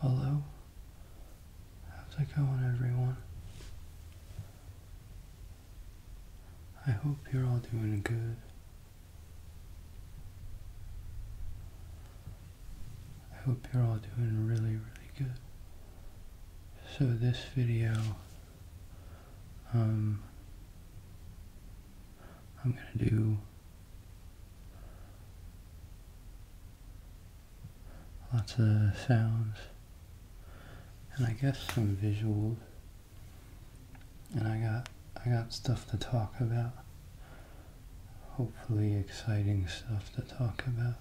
Hello? How's it going, everyone? I hope you're all doing good. I hope you're all doing really, really good. So this video, um, I'm gonna do Lots of sounds, and I guess some visuals. And I got I got stuff to talk about. Hopefully, exciting stuff to talk about.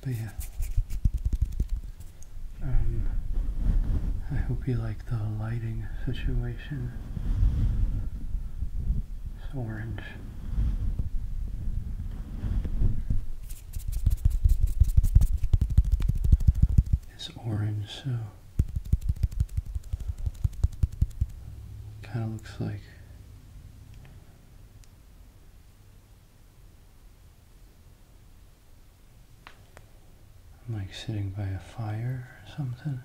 But yeah, um, I hope you like the lighting situation. It's orange. It's orange, so kind of looks like I'm like sitting by a fire or something.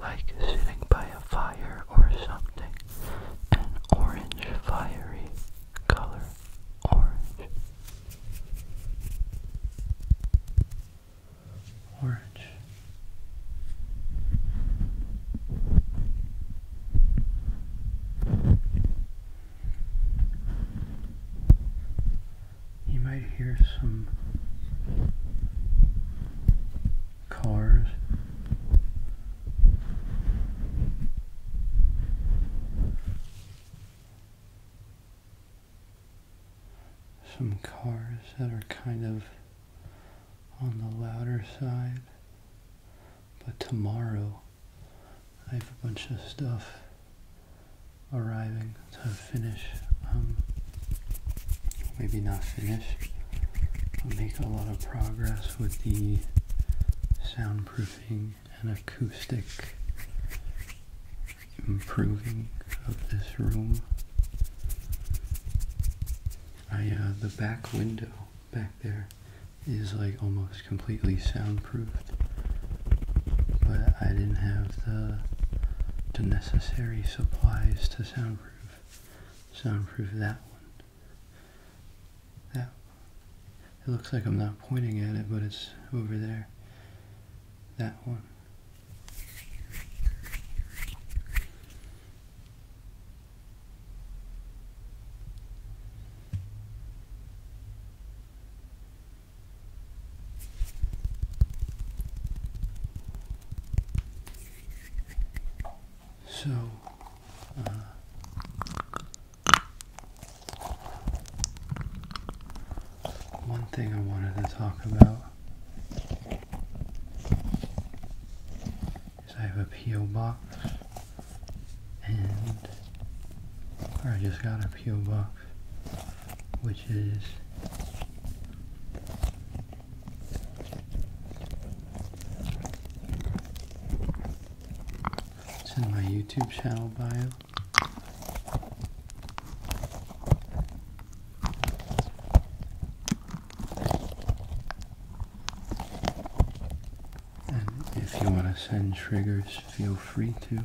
Like sitting by a fire or something. An orange fiery color. Orange. Orange. You might hear some cars. Some cars that are kind of on the louder side, but tomorrow I have a bunch of stuff arriving to finish. Um, maybe not finish. I'll make a lot of progress with the soundproofing and acoustic improving of this room. I, uh, the back window back there is like almost completely soundproofed but I didn't have the the necessary supplies to soundproof soundproof that one that it looks like I'm not pointing at it but it's over there that one so, uh, one thing I wanted to talk about is I have a P.O. box and I just got a peel box which is it's in my YouTube channel bio. And if you want to send triggers, feel free to.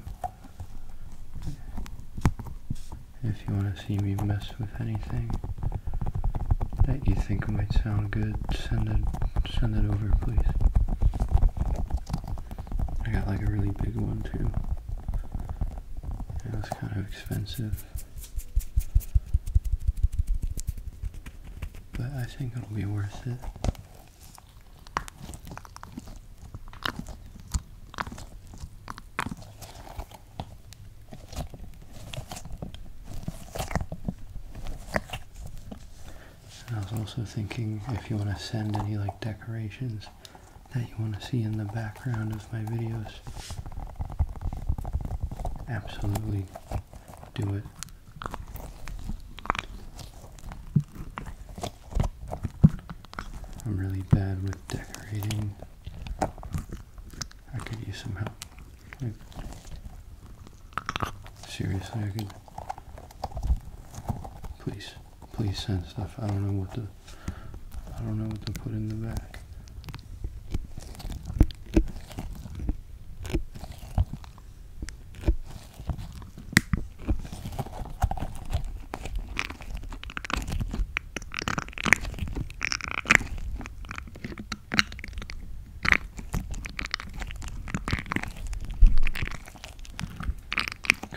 If you want to see me mess with anything that you think might sound good, send it send it over please. I got like a really big one too. It was kind of expensive. But I think it'll be worth it. I was also thinking if you want to send any like decorations that you want to see in the background of my videos, absolutely do it. I'm really bad with decorating. I could use some help. seriously, I could. Please, please send stuff. I don't know what to. I don't know what to put in the back.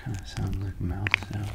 Kind of sound like mouth sounds.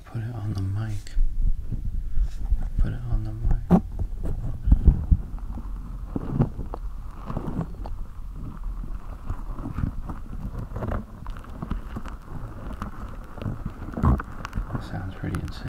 put it on the mic. Put it on the mic. sounds pretty insane.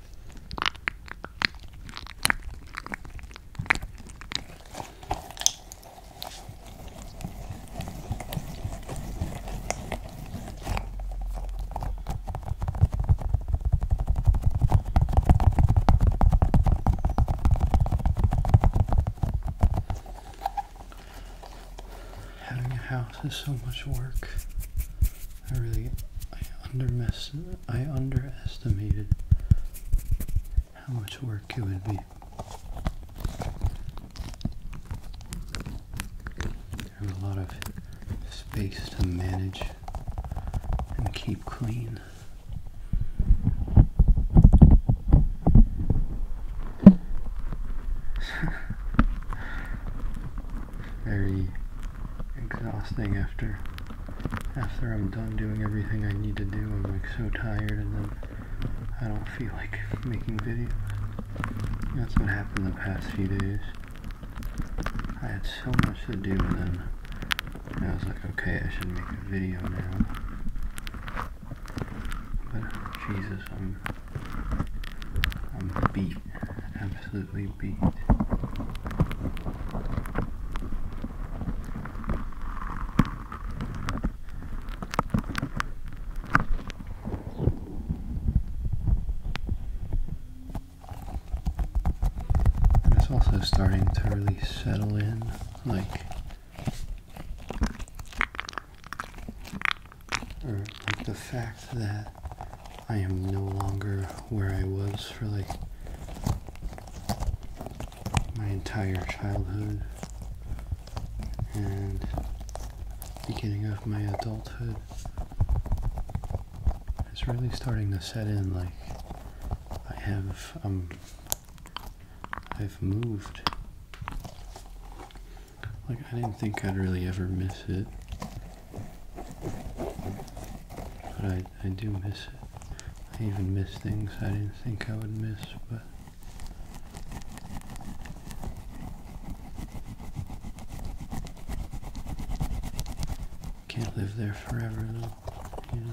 Having a house is so much work. I really, I, undermes I underestimated how much work it would be. There's a lot of space to manage and keep clean. Very exhausting after after I'm done doing everything I need to do. I'm like so tired and then I don't feel like making videos. That's what happened the past few days. I had so much to do and then I was like, okay, I should make a video now. But Jesus, I'm I'm beat, absolutely beat. And it's also starting to really settle in, like, or like the fact that I am no longer where I was for like my entire childhood and beginning of my adulthood it's really starting to set in like I have um, I've moved like I didn't think I'd really ever miss it but I, I do miss it. I even miss things I didn't think I would miss, but can't live there forever though, you know.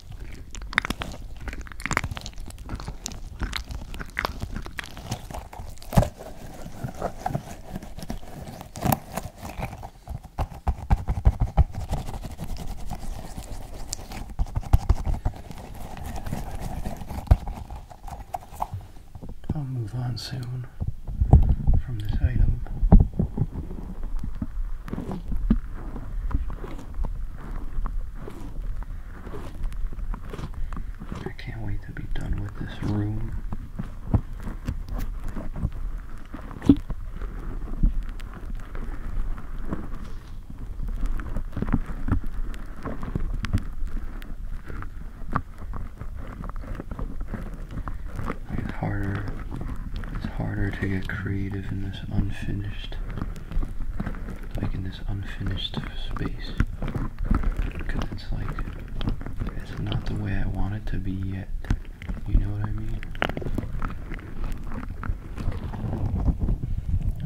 I'll move on soon from this item. I can't wait to be done with this room. It's harder, it's harder to get creative in this unfinished like in this unfinished space because it's like it's not the way I want it to be yet you know what I mean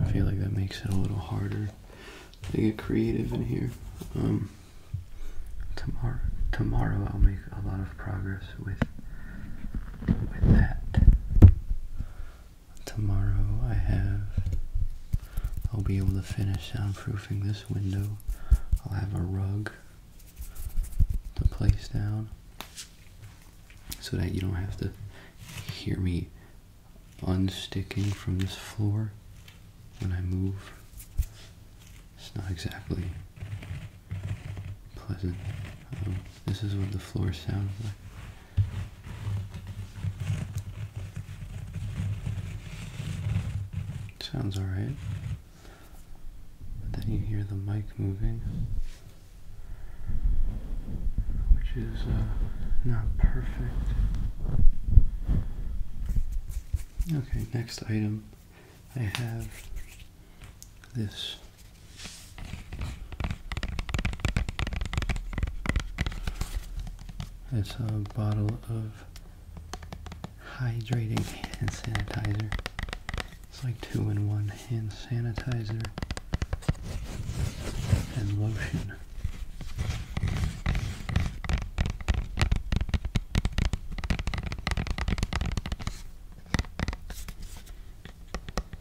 I feel like that makes it a little harder to get creative in here um, tomorrow tomorrow I'll make a lot of progress with with that tomorrow I have, I'll be able to finish soundproofing this window. I'll have a rug to place down so that you don't have to hear me unsticking from this floor when I move. It's not exactly pleasant. Um, this is what the floor sounds like. Sounds alright. But then you hear the mic moving, which is uh, not perfect. Okay, next item I have this it's a bottle of hydrating hand sanitizer. It's like two in one hand sanitizer and lotion.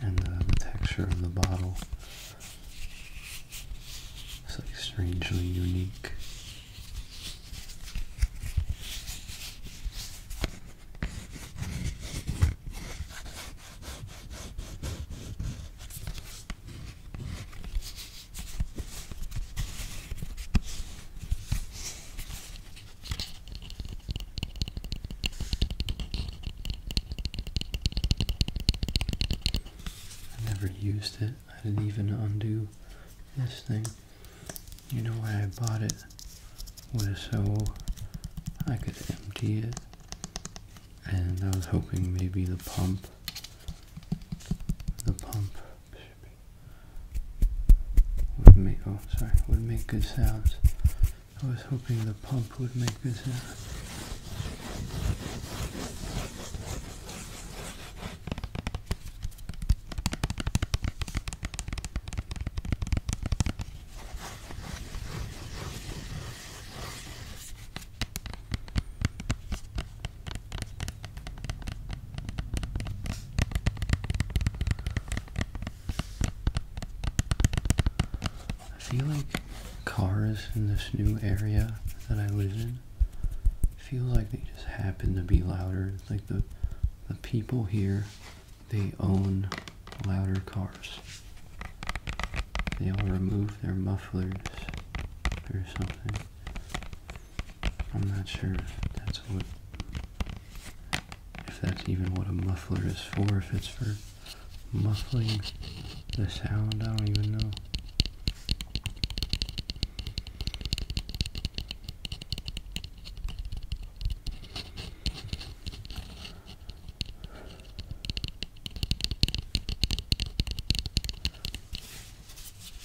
And uh, the texture of the bottle is like strangely unique. I never used it. I didn't even undo this thing. You know why I bought it was so I could empty it. And I was hoping maybe the pump the pump would make oh sorry would make good sounds. I was hoping the pump would make good sounds. I feel like cars in this new area that I live in feel like they just happen to be louder. It's like the the people here they own louder cars. They all remove their mufflers or something I'm not sure if that's what if that's even what a muffler is for, if it's for muffling the sound, I don't even know.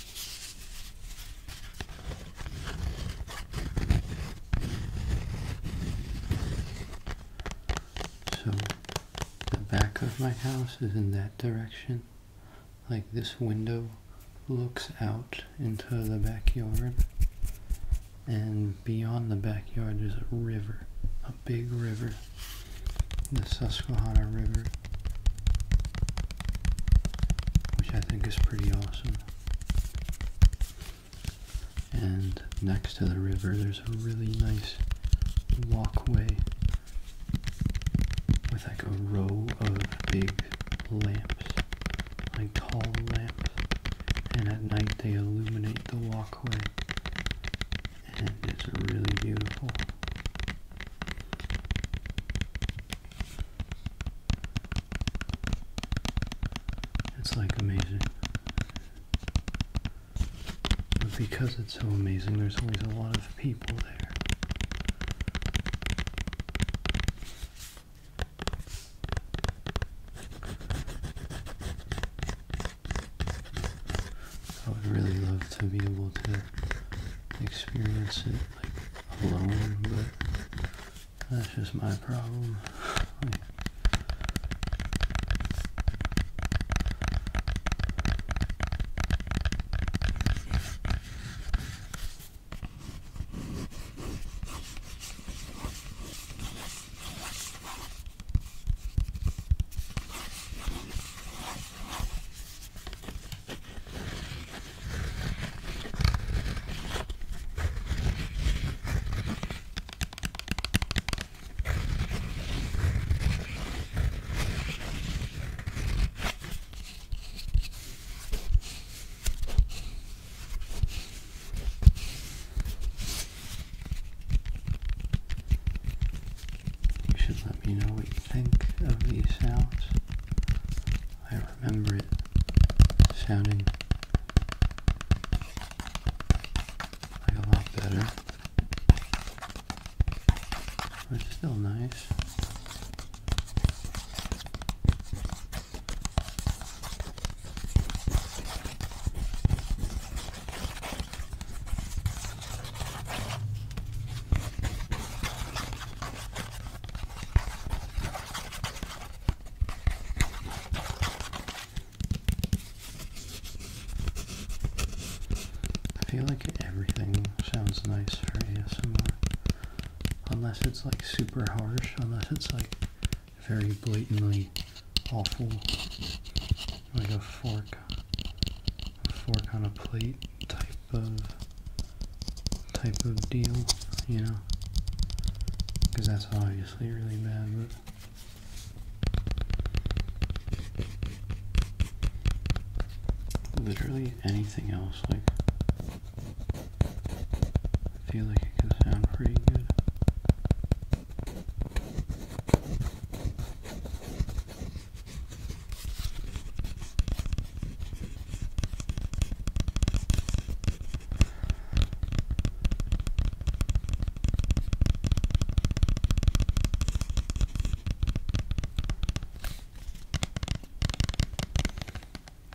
So the back of my house is in that direction. Like this window looks out into the backyard. And beyond the backyard is a river, a big river, the Susquehanna River, which I think is pretty awesome. And next to the river, there's a really nice walkway with like a row of big lamps, like tall lamps. And at night, they illuminate the walkway, and it's really beautiful. It's like amazing. But because it's so amazing, there's always a lot of people there. I would really love to be able to experience it like alone, but that's just my problem. You should let me know what you think of these sounds. I remember it sounding like a lot better. it's still nice. I feel like everything sounds nice for ASMR. Unless it's like super harsh, unless it's like very blatantly awful. Like a fork, a fork on a plate type of type of deal, you know, because that's obviously really bad, but. Literally anything else, like, I feel like it can sound pretty good.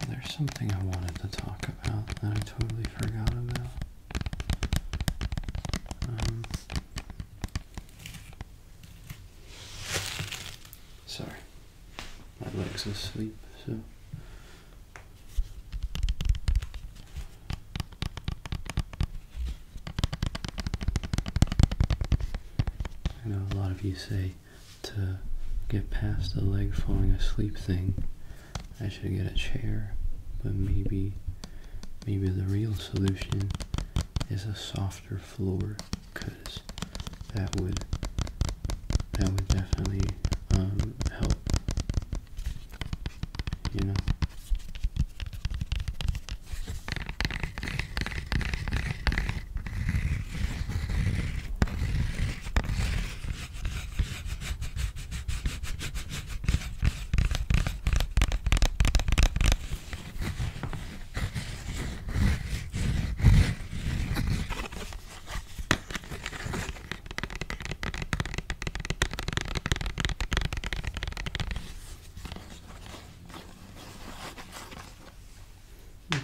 There's something I wanted to talk about that I totally forgot about. Um, sorry, my legs are asleep, so I know a lot of you say to get past the leg falling asleep thing, I should get a chair, but maybe maybe the real solution is a softer floor because that would that would definitely um, help. You know.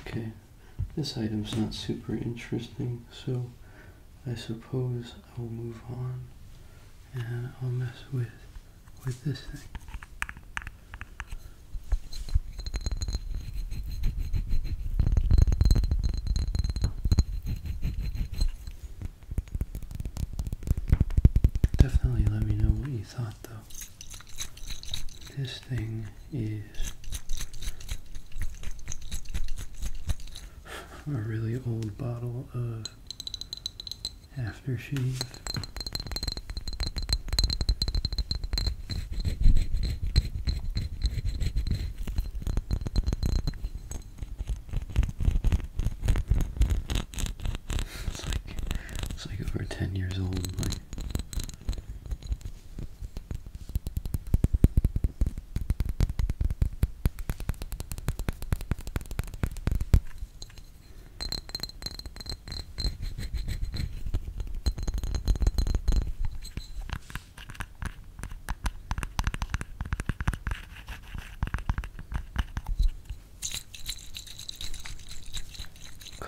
Okay, this item's not super interesting, so I suppose I'll move on and I'll mess with with this thing. Definitely let me know what you thought though. This thing is a really old bottle of aftershave. It's like it's like over ten years old. Like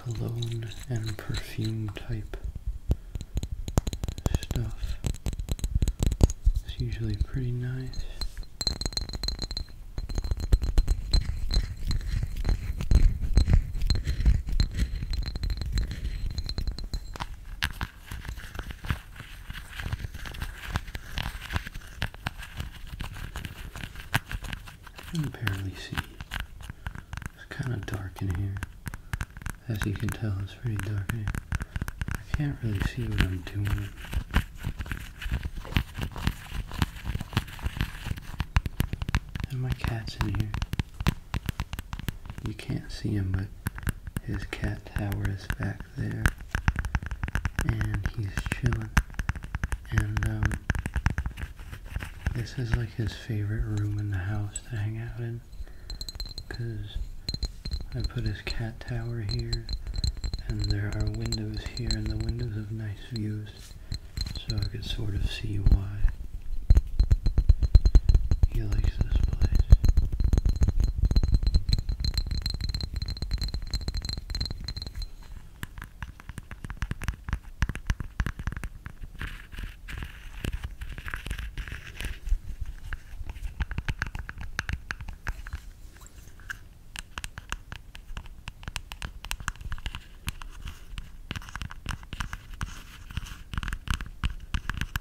cologne and perfume type stuff. It's usually pretty nice. Apparently, see. It's kind of dark in here. As you can tell, it's pretty dark in here. I can't really see what I'm doing. And my cat's in here. You can't see him, but his cat tower is back there. And he's chilling. And, um, this is like his favorite room in the house to hang out in. Because I put his cat tower here. And there are windows here, and the windows have nice views. So I could sort of see why. He likes this place.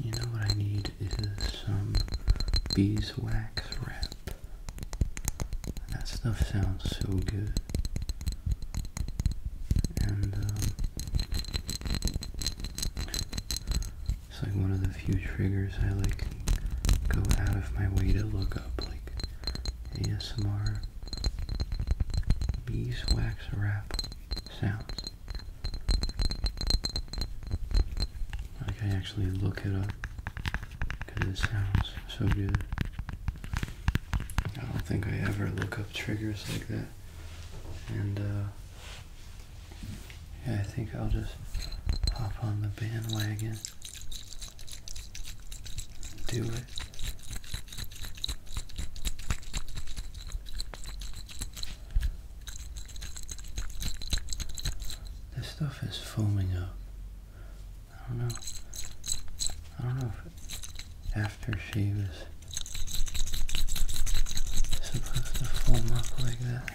You know what I need is some beeswax wrap. That stuff sounds so good. And um, it's like one of the few triggers I like go out of my way to look up, like ASMR beeswax wrap sounds. Like I actually look it up because it sounds so good. I don't think I ever look up triggers like that. And uh, yeah, I think I'll just hop on the bandwagon do it. This stuff is foaming up. I don't know. I don't know if after she was supposed to foam up like that.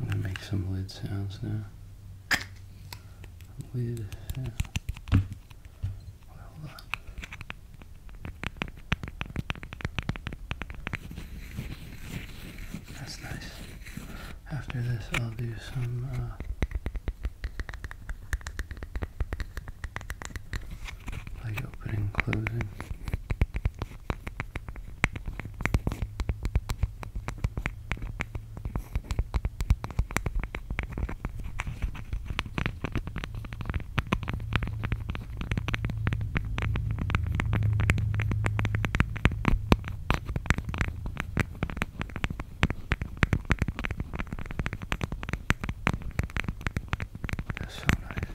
I'm gonna make some lid sounds now. Lid Well, that's nice. After this, I'll do some. Uh, like opening, closing. That's so nice.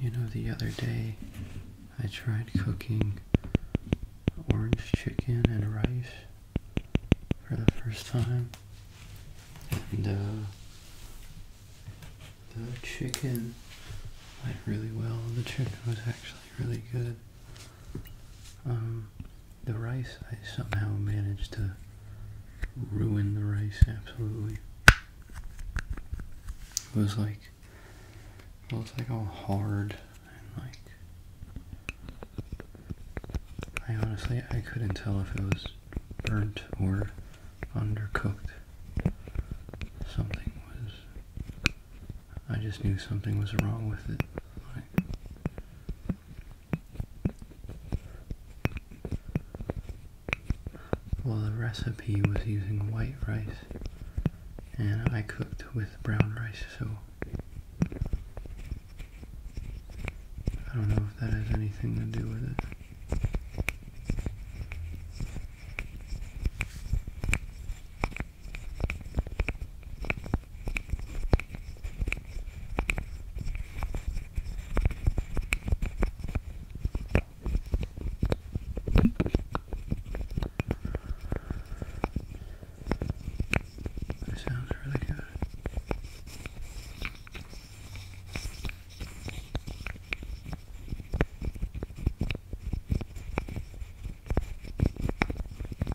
You know, the other day I tried cooking orange chicken and rice for the first time. And uh, the chicken went really well. The chicken was actually really good. Um, the rice, I somehow managed to ruin the rice absolutely. It was like, it was like all hard and like, I honestly, I couldn't tell if it was burnt or undercooked. Something was, I just knew something was wrong with it. Well, the recipe was using white rice, and I cooked with brown rice, so I don't know if that has anything to do with it. That sounds really good.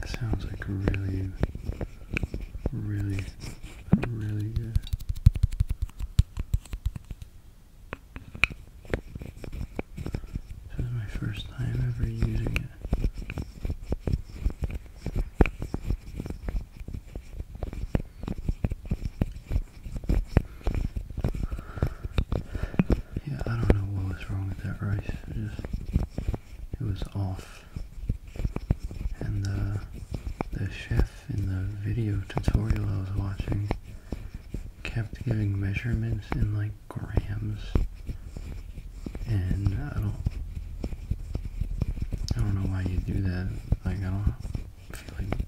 That sounds like really, really, really good. This is my first time ever using it. Yeah, I don't know what was wrong with that rice. It just it was off. And the uh, the chef in the video tutorial I was watching kept giving measurements in like grams. And I don't I don't know why you do that. I don't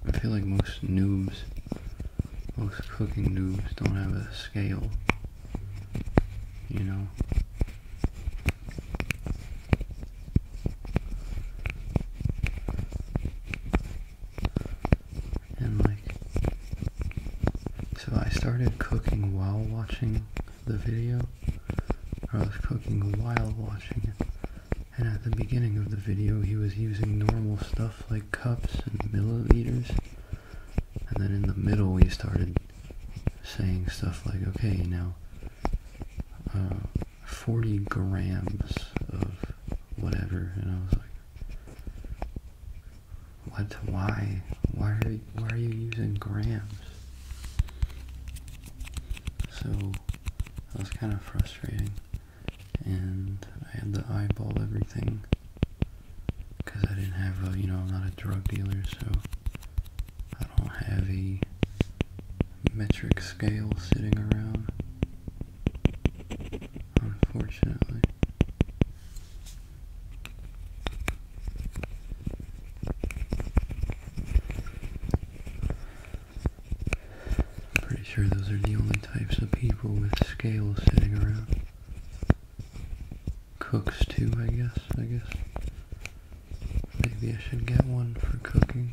I feel like most noobs, most cooking noobs don't have a scale. You know. And like, so I started cooking while watching the video, or I was cooking while watching it, and at the beginning of the video, he was using normal stuff like cups and milliliters. And then in the middle, he started saying stuff like, okay, now, uh, 40 grams of whatever. You know, like, what? Why? Why are, why are you using grams? So, that was kind of frustrating and I had to eyeball everything because I didn't have a, you know, I'm not a drug dealer, so I don't have a metric scale sitting around, unfortunately. Pretty sure those are the only types of people with scales sitting around. Cooks too, I guess, I guess. Maybe I should get one for cooking.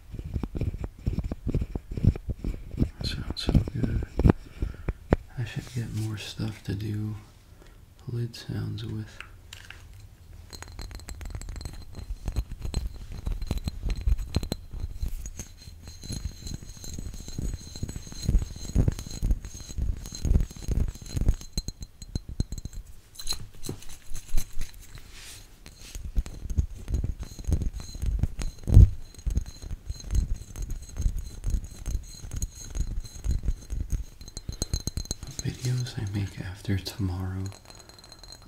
sounds so good. I should get more stuff to do lid sounds with videos I make after tomorrow,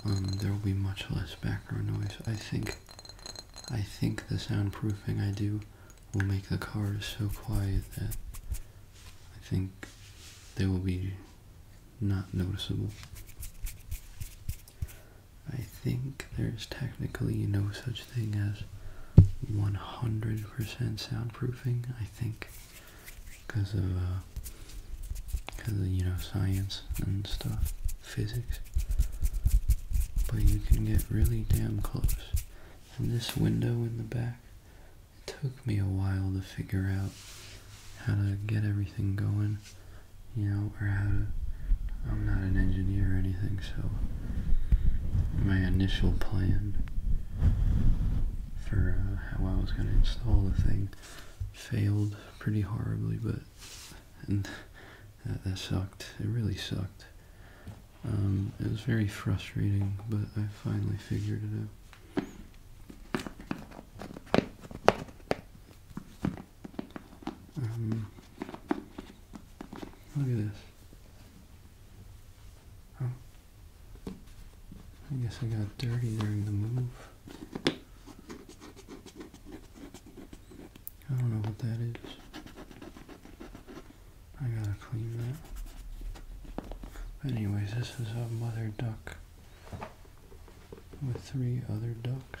um, there will be much less background noise. I think, I think the soundproofing I do will make the cars so quiet that I think they will be not noticeable. I think there's technically no such thing as 100% soundproofing, I think, because of, because uh, of, you know, science and stuff, physics. But you can get really damn close. And this window in the back, it took me a while to figure out how to get everything going, you know, or how to. I'm not an engineer or anything, so my initial plan for uh, how I was going to install the thing failed pretty horribly, but and that, sucked. It really sucked. Um, it was very frustrating, but I finally figured it out. Um, look at this. I guess I got dirty during the move. I don't know what that is. I gotta clean that. But anyways, this is a mother duck with three other ducks.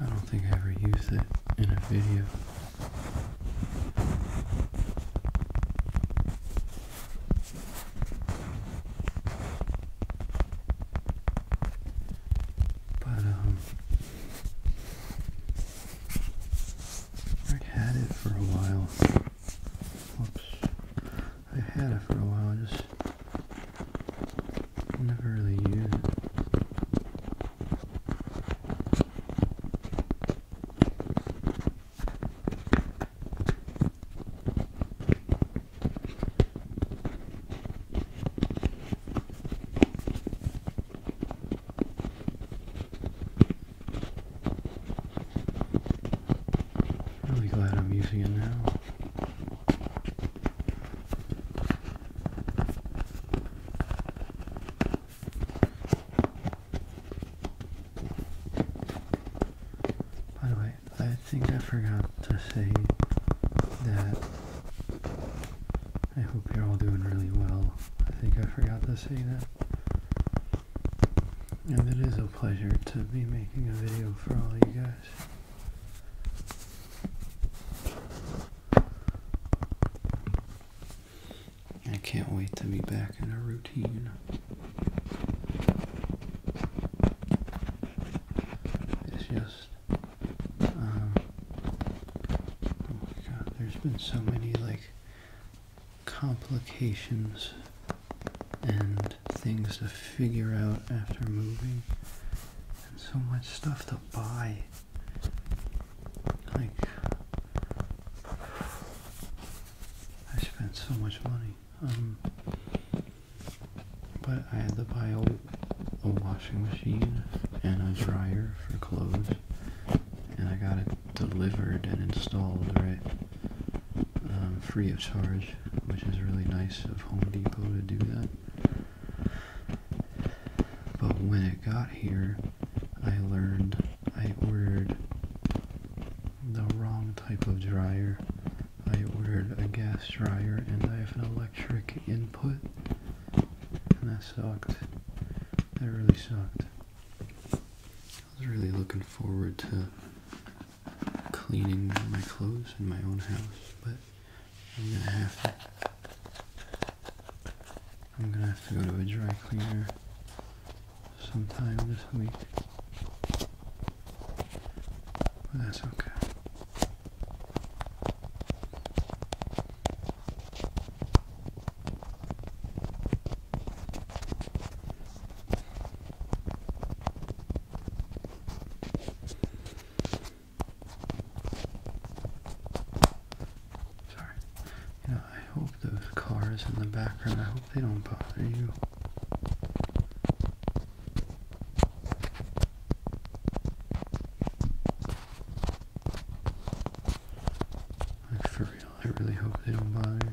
I don't think I ever used it in a video. But, um, I had it for a while. Oops. I had it for a while, I just never really used it. Really glad I'm using it now. By the way, I think I forgot to say that I hope you're all doing really well. I think I forgot to say that. And it is a pleasure to be making a video for all you guys. I can't wait to be back in a routine. It's just, um, oh my god, there's been so many like complications and things to figure out after moving and so much stuff to buy like I spent so much money um, but I had to buy a washing machine and a dryer for clothes and I got it delivered and installed, right? Um, free of charge, which is really nice of Home Depot to do that. But when it got here, I learned I ordered the wrong type of dryer. I ordered a gas dryer and I have an electric input. And that sucked. That really sucked. I was really looking forward to cleaning my clothes in my own house, but I'm gonna have to. I'm gonna have to go to a dry cleaner sometime this week. But that's okay. Sorry. You I hope those cars in the background, I hope they don't bother you. for real, I really hope they don't bother you.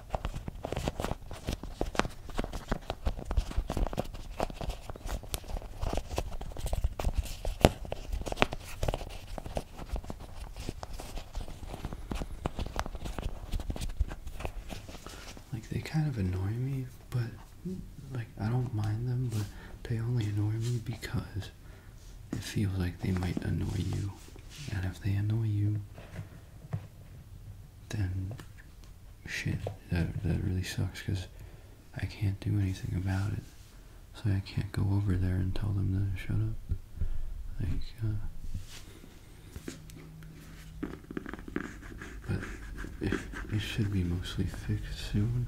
Like they kind of annoy me, but like I don't mind them, but they only annoy me because it feels like they might annoy you. And if they annoy you, then shit, that, that really sucks because I can't do anything about it. So I can't go over there and tell them to shut up. Like, uh, but it should be mostly fixed soon.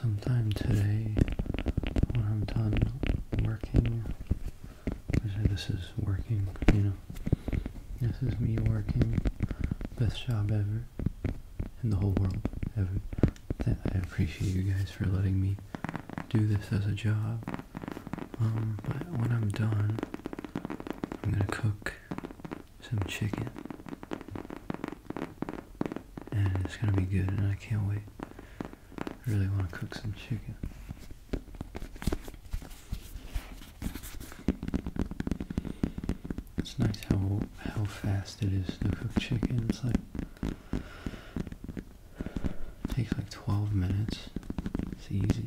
Sometime today, when I'm done working, this is working, you know, this is me working, best job ever in the whole world, ever. I appreciate you guys for letting me do this as a job. Um, but when I'm done, I'm gonna cook some chicken. And it's gonna be good, and I can't wait. I really wanna cook some chicken. It's nice how how fast it is to cook chicken. It's like Takes like 12 minutes. It's easy.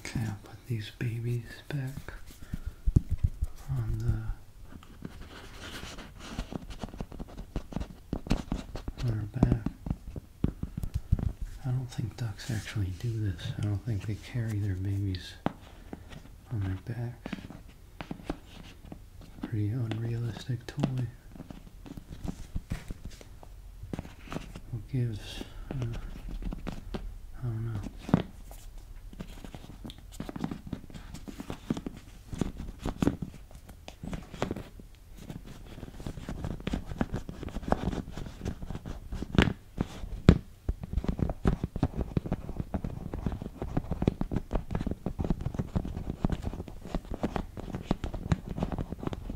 Okay, I'll put these babies back on the on her back. I don't think ducks actually do this. I don't think they carry their babies on their backs. Pretty unrealistic toy. Who gives? Uh, I don't know.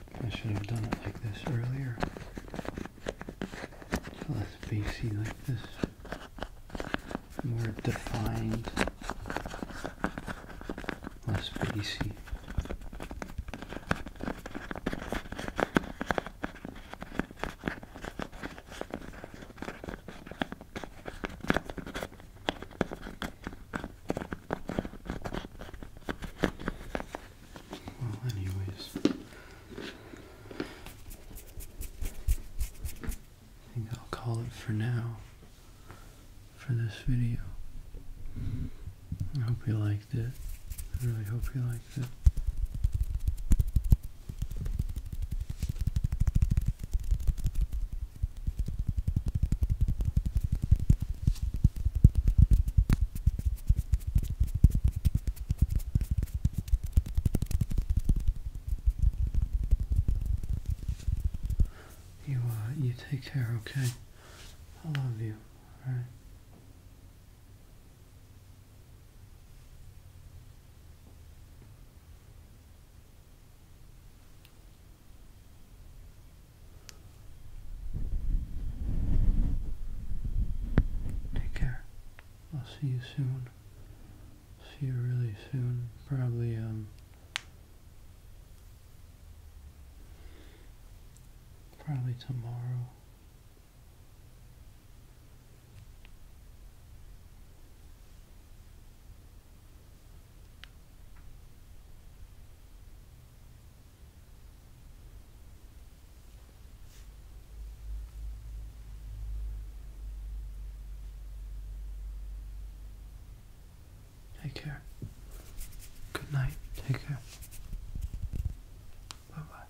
I should have done it like this earlier. less bassy like this. More defined. Less bassy. Well, anyways, I think I'll call it for now for this video. I hope you liked it. I really hope you liked it. You uh, you take care, okay? I love you, alright? Take care. I'll see you soon. See you really soon. Probably, um, probably tomorrow. Take care. Good night. Take care. Bye bye.